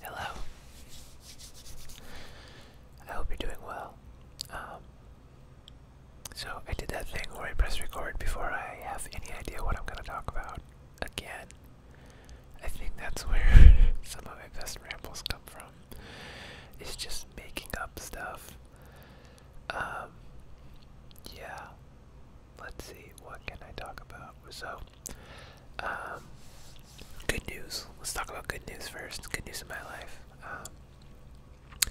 Hello. I hope you're doing well. Um, so I did that thing where I press record before I have any idea what I'm going to talk about again. I think that's where some of my best rambles come from. It's just making up stuff. Um, yeah. Let's see, what can I talk about? So, um, good news. Let's talk about good news first. Good news in my life. Um,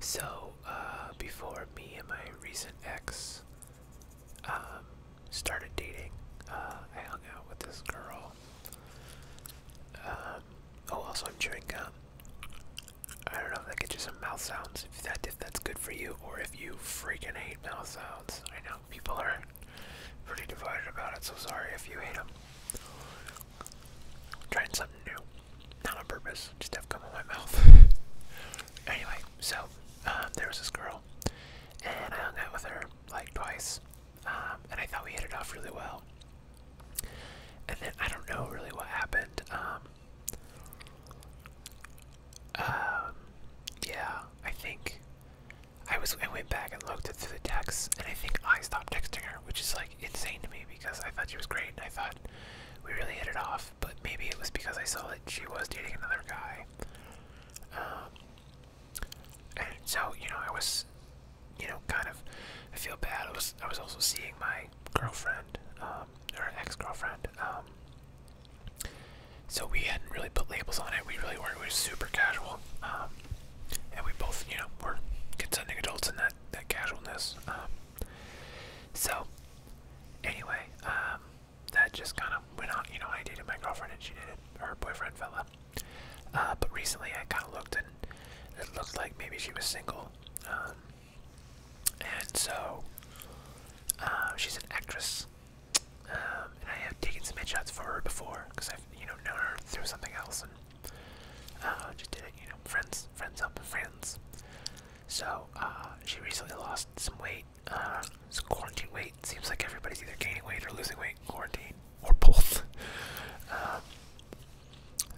so, uh, before me and my recent ex um, started dating, uh, I hung out with this girl. oh, also I'm chewing gum. I don't know if that gets you some mouth sounds. If that if that's good for you, or if you freaking hate mouth sounds. I know people are pretty divided about it, so sorry if you hate them. trying something new. Not on purpose, just have come in my mouth. anyway, so um, there was this girl, and I hung out with her like twice, um, and I thought we hit it off really well. And then I don't know really what happened. Um, yeah, I think I was I went back and looked through the texts, and I think I stopped texting her, which is like insane to me because I thought she was great and I thought we really hit it off. But maybe it was because I saw that she was dating another guy. Um, and so you know, I was, you know, kind of I feel bad. I was I was also seeing my girlfriend, her um, ex-girlfriend, um, so we hadn't really put labels on it. We really weren't. We were super casual, um, and we both, you know, were consenting adults in that that casualness. Um, so anyway, um, that just kind of went on. You know, I dated my girlfriend, and she dated her boyfriend fella. Uh, but recently, I kind of looked, and it looked like maybe she was single. and so uh, she's an actress um, and I have taken some headshots for her before because I've you know known her through something else and uh, just did it you know friends friends help friends. So uh, she recently lost some weight. Uh, quarantine weight. Seems like everybody's either gaining weight or losing weight in quarantine or both. Um,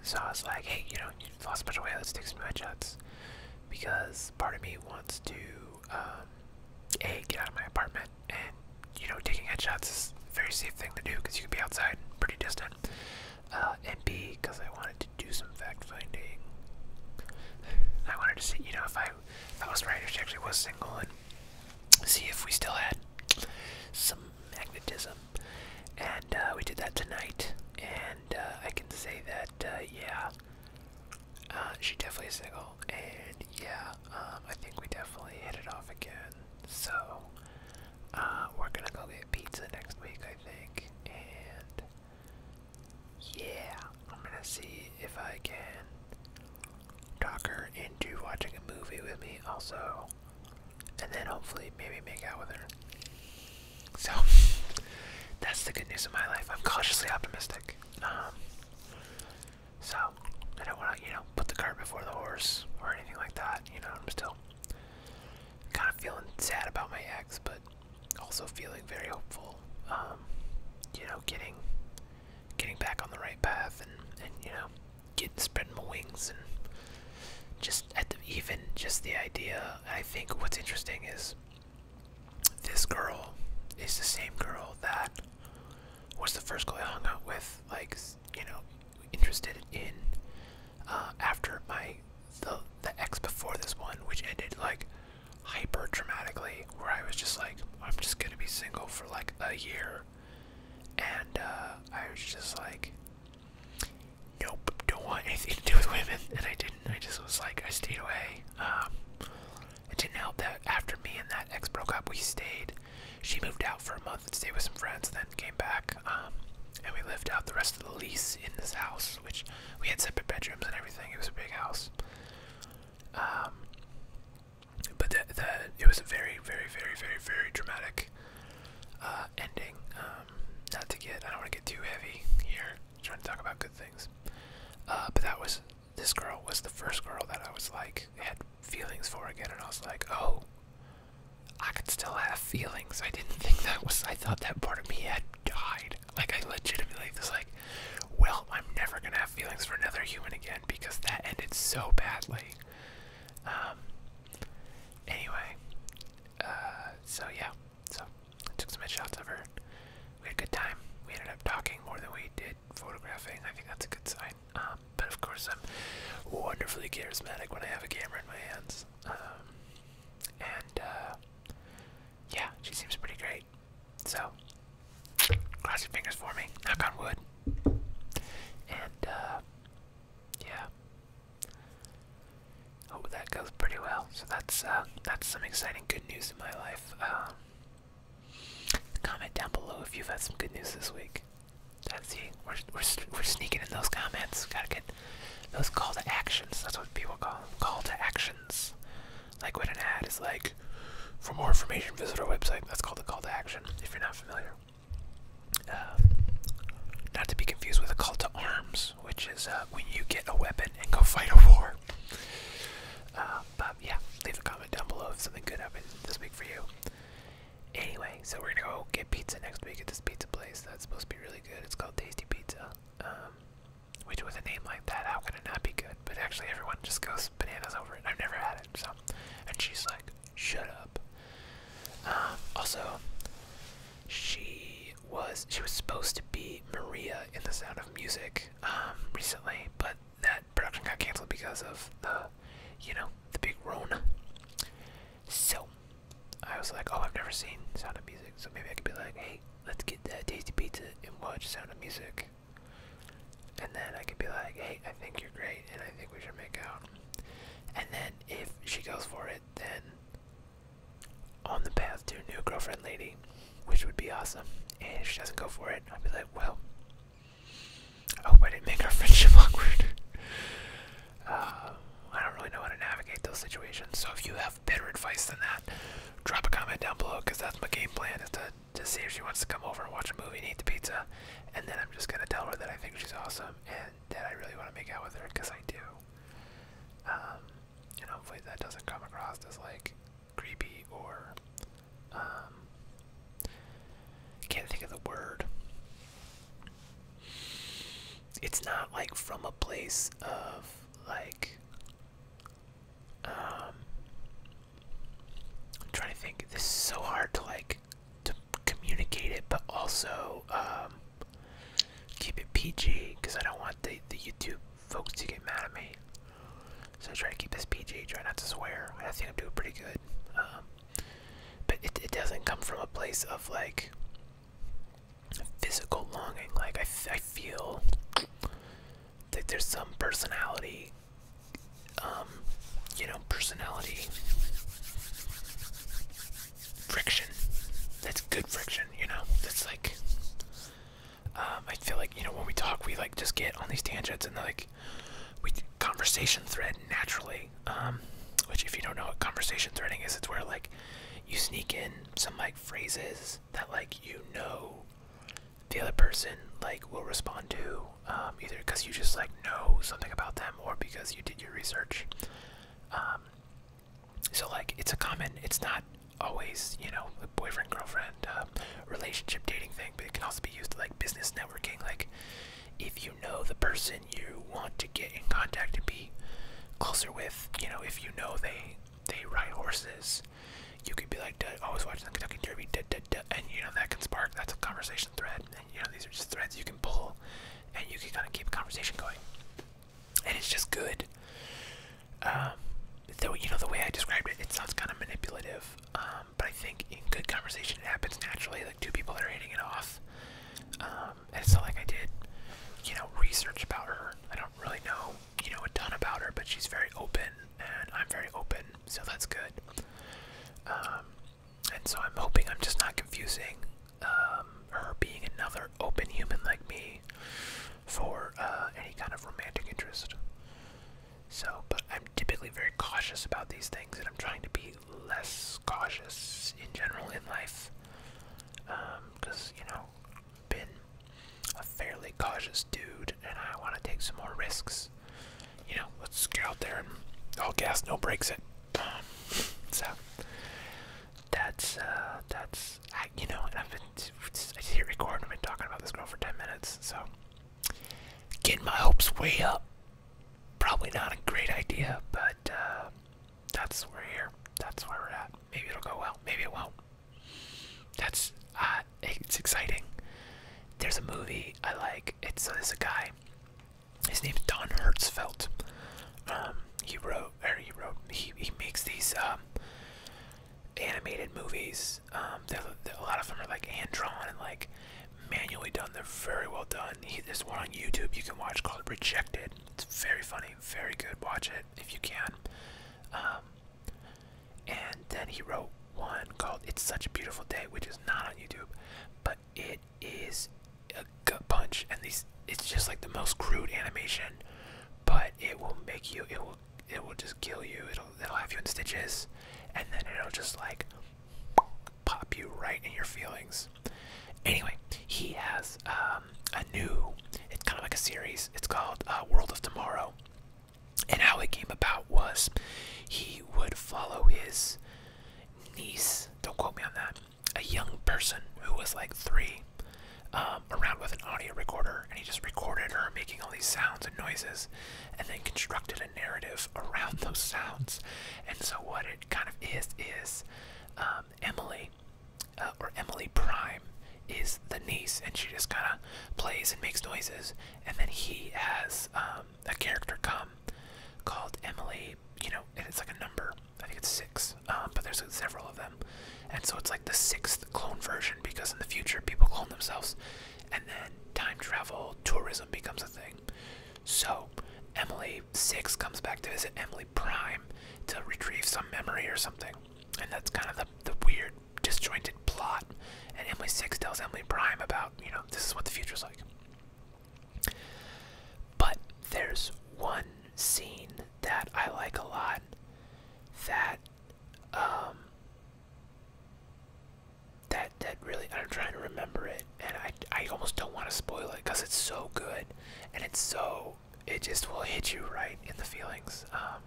so I was like, hey, you know, you lost a bunch of weight. Let's take some headshots because part of me wants to um, a get out of my apartment and you know taking headshots is a very safe thing to do because you can be outside pretty distant uh, and b because i wanted to do some fact finding i wanted to see you know if i if i was right if she actually was single and see if we still had some magnetism and uh, we did that tonight and uh, i can say that uh, yeah uh, she definitely single, and yeah, um, I think we definitely hit it off again. So, uh, we're gonna go get pizza next week, I think, and yeah, I'm gonna see if I can talk her into watching a movie with me, also, and then hopefully maybe make out with her. So, that's the good news of my life. I'm cautiously optimistic. Um, so I don't want to, you know, put the cart before the horse or anything like that. You know, I'm still kind of feeling sad about my ex, but also feeling very hopeful. Um, you know, getting getting back on the right path and and you know, getting spreading my wings and just even just the idea. I think what's interesting is this girl is the same girl that was the first girl I hung out with, like you know, interested in uh, after my the the ex before this one, which ended like hyper dramatically, where I was just like, I'm just gonna be single for like a year, and uh, I was just like, nope, don't want anything to do with women, and I didn't. I just was like, I stayed away. Um, it didn't help that after me and that ex broke up, we stayed. She moved out for a month and stayed with some friends, then came back. Um, and we lived out the rest of the lease in this house, which we had separate bedrooms and everything. It was a big house. Um, but the, it was a very, very, very, very, very dramatic uh, ending. Um, not to get, I don't want to get too heavy here. I'm trying to talk about good things. Uh, but that was this girl was the first girl that I was like had feelings for again, and I was like, oh, I could still have feelings. I didn't think that was. I thought that part of me had died. Like I legitimately was like, well, I'm never gonna have feelings for another human again because that ended so badly. Um. Anyway. Uh, so yeah. So Took some headshots of her. We had a good time. We ended up talking more than we did photographing. I think that's a good sign. Um, but of course, I'm wonderfully charismatic when I have a camera in my hands. Um, and uh, yeah, she seems pretty great. So cross your fingers for me. Knock on wood. And uh, yeah hope that goes pretty well. So that's uh, that's some exciting good news in my life. Um, comment down below if you've had some good news this week. That's see, we're we're sneaking in those comments. Gotta get those call to actions. That's what people call Call to actions. Like what an ad is like. For more information, visit our website. That's called a call to action. If you're not familiar. Um, not to be confused with a call to arms, which is uh, when you get a weapon and go fight a war. Uh, but yeah, leave a comment down below if something good happened this week for you. Anyway, so we're gonna go get pizza next week at this pizza place that's supposed to be really good. It's called Tasty Pizza. Um, which with a name like that, how can it not be good? But actually, everyone just goes bananas over it. I've never had it, so. And she's like, shut up. Uh, also, she was she was supposed to be Maria in The Sound of Music um, recently, but that production got canceled because of the you know the big Rona. So I was like, oh, I've never seen Sound of Music, so maybe I could be like, hey, let's get that tasty pizza and watch Sound of Music. And then I could be like, hey, I think you're great, and I think we should make out. And then if she goes for it, then on the path to a new girlfriend lady, which would be awesome. And if she doesn't go for it, I'd be like, well, I hope I didn't make our friendship awkward. Uh, I don't really know how to navigate those situations. So if you have better advice than that, drop a comment down below because that's my game plan is to, to see if she wants to come over and watch a movie and eat the pizza. And then I'm just going to tell her that I think she's awesome and that I really want to make out with her because I do. Um, and hopefully that doesn't come across as like creepy or um, can't think of the word it's not like from a place of like um, I'm trying to think this is so hard to like to communicate it but also um, keep it PG because I don't want the, the YouTube folks to get mad at me. So I try to keep this PG, try not to swear. I think I'm doing pretty good. Um, but it, it doesn't come from a place of like physical longing. Like I, I feel that there's some personality, um, you know, personality friction. That's good friction, you know? That's like um, I feel like, you know, when we talk we like just get on these tangents and like we conversation thread naturally. Um, which if you don't know what conversation threading is, it's where like you sneak in some like phrases that like you know the other person like will respond to um, either because you just like know something about them or because you did your research um, so like it's a common, it's not always you know a boyfriend girlfriend um, relationship dating thing, but it can also be used like business networking. Like if you know the person you want to get in contact and be closer with, you know, if you know they they ride horses, you could be like, I was watching the Kentucky Derby, and you know that can spark. That's a conversation thread, and you know these are just threads you can pull, and you can kind of keep a conversation going and it's just good. So um, you know the way I described it, it sounds kind of manipulative. Um, but I think in good conversation, it happens naturally. Like two people that are hitting it off. Um, and it's not like I did, you know, research about her. I don't really know, you know, a done about her, but she's very open, and I'm very open, so that's good. and so I'm hoping I'm just not confusing um, her being another open human like me for uh, any kind of romantic interest. So, but I'm typically very cautious about these things, and I'm trying to be less cautious in general in life. Because, um, you know, I've been a fairly cautious dude, and I want to take some more risks. You know, let's get out there and all gas, no breaks it. so, that's uh that's I, you know I've been I hit recording I've been talking about this girl for ten minutes so getting my hopes way up probably not a great idea but uh that's where we're here that's where we're at maybe it'll go well maybe it won't that's uh it's exciting there's a movie I like it's uh, there's a guy his name's Don Hertzfeldt um, he wrote, or he wrote, he, he makes these um, animated movies. Um, a lot of them are like hand drawn and like manually done. They're very well done. He, there's one on YouTube you can watch called Rejected. It's very funny, very good. Watch it if you can. and then he wrote one called It's Such a Beautiful Day, which is not on YouTube, but it is a gut punch, and these it's just like the most crude animation, but it will make you it will it will just kill you. It'll it'll have you in stitches, and then it'll just like pop you right in your feelings. Anyway, he has um, a new it's kind of like a series. It's called uh, World of Tomorrow, and how it came about was he would follow his niece. Don't quote me on that a young person who was like three um, around with an audio recorder, and he just recorded her making all these sounds and noises, and then constructed a narrative around those sounds. And so, what it kind of is is um, Emily, uh, or Emily Prime, is the niece, and she just kind of plays and makes noises. And then he has um, a character come called Emily, you know, and it's like a number, I think it's six, um, but there's several of them, and so it's like the sixth clone version because in the future people clone themselves, and then time travel tourism becomes a thing. So Emily Six comes back to visit Emily Prime to retrieve some memory or something, and that's kind of the the weird disjointed plot. And Emily Six tells Emily Prime about you know this is what the future's like. But there's one scene that I like a lot that um that that really I'm trying to remember it and I I almost don't want to spoil it because it's so good and it's so it just will hit you right in the feelings um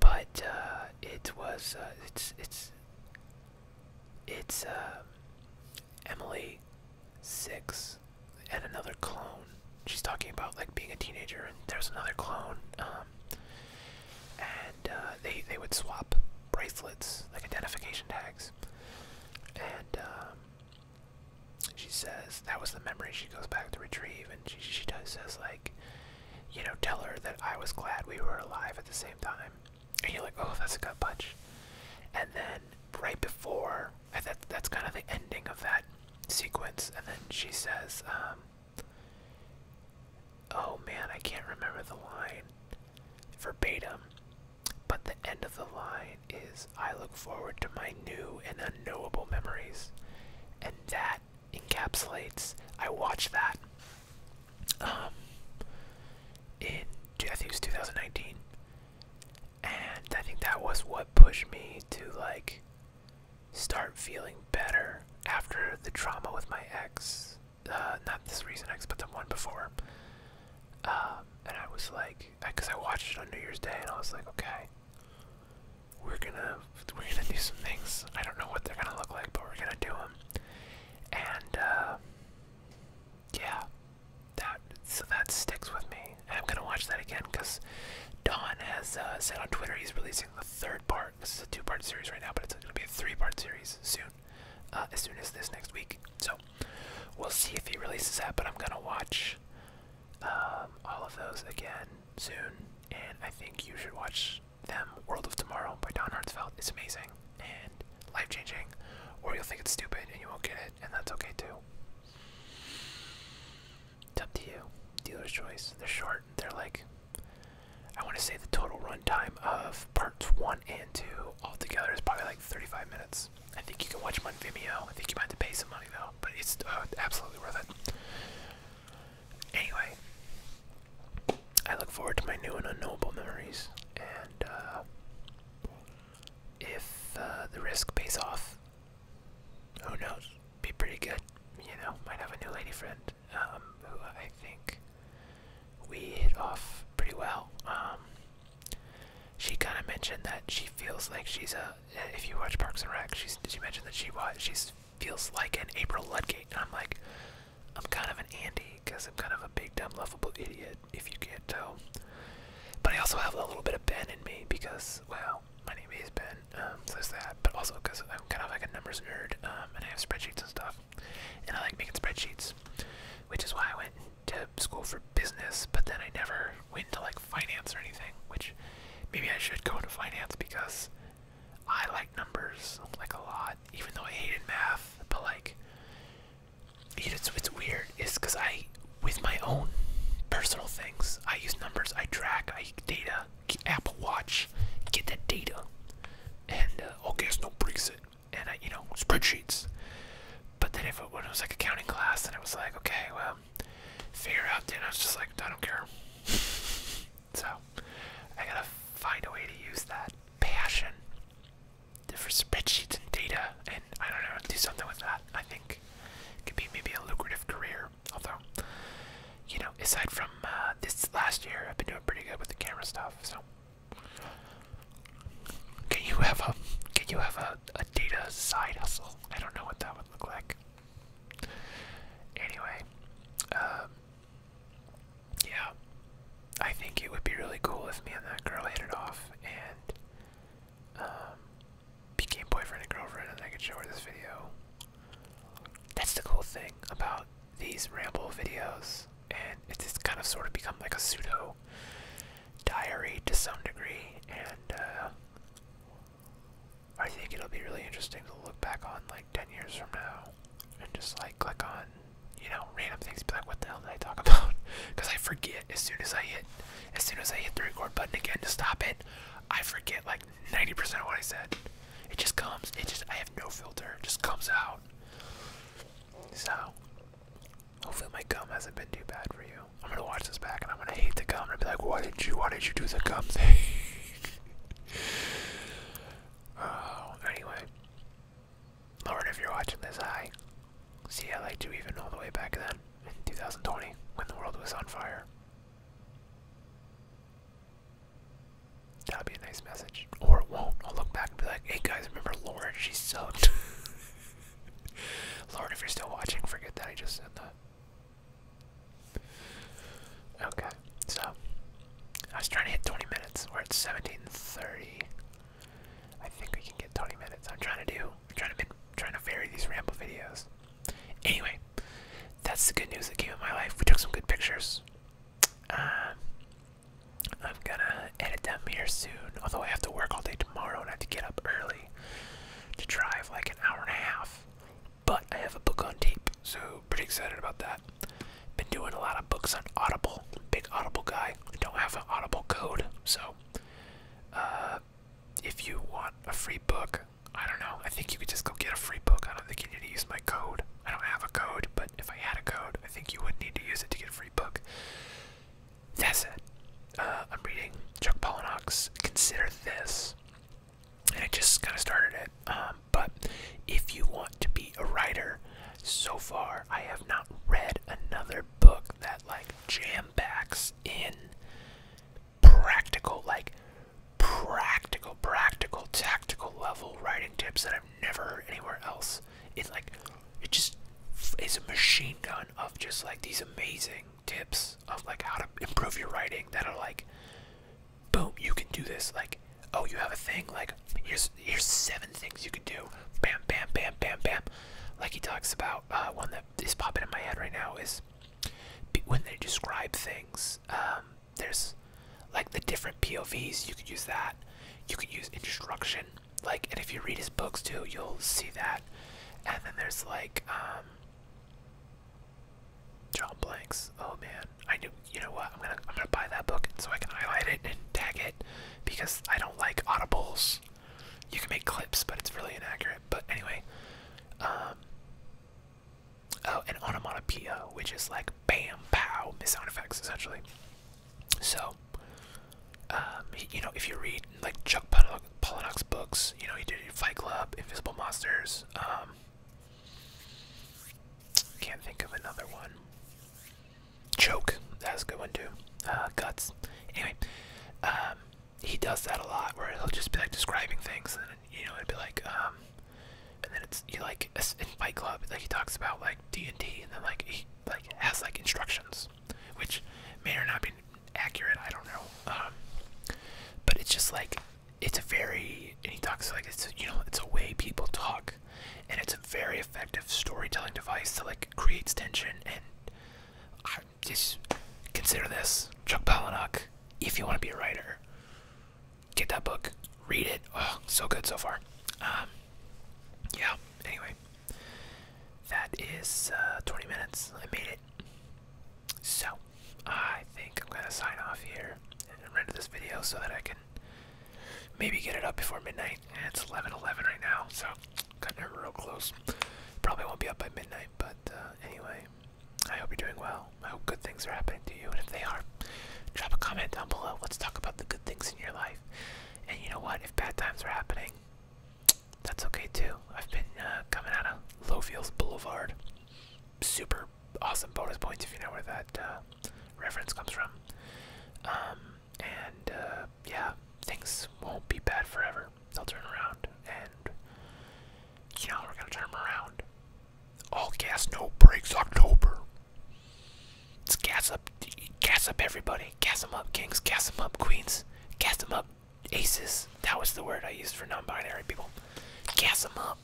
but uh it was uh, it's it's it's uh Emily, six, and another clone. She's talking about like being a teenager, and there's another clone. Um, and uh, they they would swap bracelets, like identification tags. And um, she says that was the memory she goes back to retrieve, and she she does says like, you know, tell her that I was glad we were alive at the same time. And you're like, oh, that's a good punch. And then right before that, that's kind of the ending of that sequence. And then she says, um, Oh man, I can't remember the line verbatim, but the end of the line is I look forward to my new and unknowable memories. And that encapsulates, I watch that um, in, I think 2019. And I think that was what pushed me to like start feeling better after the trauma with my ex. Uh, not this recent ex, but the one before. Um, and I was like, because I watched it on New Year's Day, and I was like, okay, we're gonna we're gonna do some things. I don't know what they're gonna look like, but we're gonna do them. And uh, yeah, that so that sticks with me. And I'm gonna watch that again because Don has uh, said on Twitter he's releasing the third part. This is a two-part series right now, but it's gonna be a three-part series soon, uh, as soon as this next week. So we'll see if he releases that. But I'm gonna watch um, all of those again soon, and I think you should watch them. World of Tomorrow by Don Hertzfeldt It's amazing and life changing, or you'll think it's stupid and you won't get it, and that's okay too. It's up to you. Dealer's choice. They're short. They're like, I want to say the total runtime of parts one and two all together is probably like 35 minutes. I think you can watch them on Vimeo. I think you might have to pay some money though, but it's uh, absolutely worth it. Anyway, I look forward to my new and unknowable memories, and uh, if uh, the risk pays off, who knows? Be pretty good, you know. Might have a new lady friend um, who I think we hit off pretty well. Um, she kind of mentioned that she feels like she's a. If you watch Parks and Rec, she's she mention that she was she feels like an April Ludgate, and I'm like, I'm kind of an Andy because I'm kind of a big dumb lovable idiot it if you can't tell. But I also have a little bit of Ben in me because, well, my name is Ben, um, so there's that. But also because I'm kind of like a numbers nerd, um, and I have spreadsheets and stuff, and I like making spreadsheets, which is why I went to school for business. But then I never went to like finance or anything, which maybe I should go into finance because I like numbers like a lot, even though I hated math. But like, it's weird is because I, with my own personal things, I use numbers, I track, I data, Apple Watch, get that data, and uh, okay, it's no breach it, and I, you know, spreadsheets. But then if it, when it was like accounting class, then I was like, okay, well, figure out. Then I was just like, I don't care. so I gotta find a way to use that passion different spreadsheets and data, and I don't know, do something with that. I think it could be maybe a lucrative career. Although, you know, aside from uh, this last year, I've been doing pretty good with the camera stuff. So, can you have a can you have a, a data side hustle? I don't know what that would look like. Anyway, um, yeah, I think it would be really cool if me and that girl hit it off and um, became boyfriend and girlfriend, and I could show her this video. That's the cool thing about these ramble videos, and it's just kind of sort of become like a pseudo diary to some degree, and uh, I think it'll be really interesting to look back on like 10 years from now and just like click on you know, random things. Be like, what the hell did I talk about? Because I forget as soon as I hit, as soon as I hit the record button again to stop it, I forget like 90% of what I said. It just comes. It just I have no filter. just comes out. So hopefully my gum hasn't been too bad for you. I'm gonna watch this back and I'm gonna hate the gum and be like, why did you? Why did you do the gum thing? oh, anyway. Lord, if you're watching this, I See, I liked you even all the way back then, in 2020, when the world was on fire. That'd be a nice message. Or it won't. I'll look back and be like, hey guys, remember Lauren? She sucked. Lord, if you're still watching, forget that I just said that. Okay, so I was trying to hit 20 minutes. We're at 1730. I think we can get 20 minutes. I'm trying to do, I'm trying to, trying to vary these ramble videos. Anyway, that's the good news that came in my life. We took some good pictures. Um, I'm gonna edit them here soon. Although I have to work all day tomorrow and I have to get up early to drive like an hour and a half. But I have a book on tape, so pretty excited about that. Been doing a lot of books on Audible. Big Audible guy. I don't have an Audible code, so uh, if you want a free book, I don't know. I think you could just go get a free book. I don't think you need to use my code. I don't have a code, but if I had a code, I think you would need to use it to get a free book. That's it. Uh, I'm reading Chuck Palahniuk's Consider This, and I just kind of started it. Um, but if you want to be a writer, so far I have not read another book that like jam packs in practical like practical practical tactical level writing tips that I've never heard anywhere else. It like it just is a machine gun of just like these amazing tips of like how to improve your writing that are like boom you can do this like oh you have a thing like here's here's seven things you could do bam bam bam bam bam like he talks about uh, one that is popping in my head right now is when they describe things um, there's like the different povs you could use that you could use instruction like and if you read his books too you'll see that and then there's like um John Blanks. Oh man, I knew. You know what? I'm gonna I'm gonna buy that book so I can highlight it and tag it because I don't like audibles. You can make clips, but it's really inaccurate. But anyway, um, oh, an onomatopoeia, which is like bam, pow, sound effects essentially. So, um, you know, if you read like Chuck Palahniuk's books, you know, he did Fight Club, Invisible Monsters. Um, can't think of another one. Choke. That's a good one too. Uh, guts. Anyway, um, he does that a lot where he'll just be like describing things and you know it'd be like um and then it's you like in Fight Club like he talks about like D and D and then like he like has like instructions which may or not be accurate I don't know um but it's just like it's a very and he talks like it's you know it's a way people talk and it's a very effective storytelling device that like creates tension. And just consider this Chuck Palahniuk. If you want to be a writer, get that book, read it. Oh, so good so far. Um, yeah. Anyway, that is uh, 20 minutes. I made it. So I think I'm gonna sign off here and render this video so that I can Maybe get it up before midnight. Eh, it's 11 11 right now, so cutting never real close. Probably won't be up by midnight, but uh, anyway, I hope you're doing well. I hope good things are happening to you, and if they are, drop a comment down below. Let's talk about the good things in your life. And you know what? If bad times are happening, that's okay too. I've been uh, coming out of Fields Boulevard. Super awesome bonus points if you know where that uh, reference comes from. Um, and uh, yeah, things won't be bad forever. They'll turn around, and you know, we're gonna turn them around. All oh, gas, no breaks. October. let gas up, gas up everybody. Gas them up, kings, gas them up, queens, gas them up, aces. That was the word I used for non binary people. Gas them up.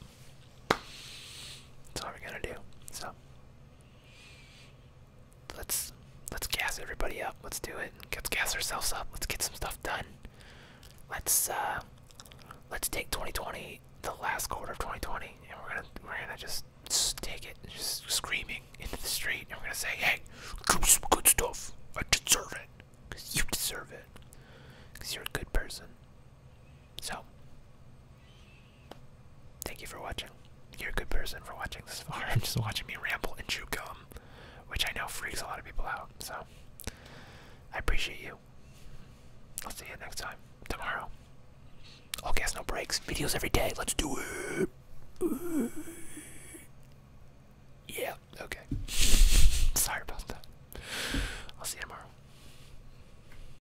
That's all we're gonna do. So, Let's let's gas everybody up. Let's do it. Let's gas ourselves up. Let's get some stuff done. Let's uh let's take 2020, the last quarter of 2020, and we're gonna we're gonna just take it, just screaming into the street, and we're gonna say, hey, do some good stuff. I deserve it. Cause you deserve it. Cause you're a good person. So Thank you for watching. You're a good person for watching this far I'm just watching me ramble and chew gum, which I know freaks a lot of people out. So, I appreciate you. I'll see you next time. Tomorrow. All gas, no breaks. Videos every day. Let's do it. Yeah, okay. Sorry about that. I'll see you tomorrow.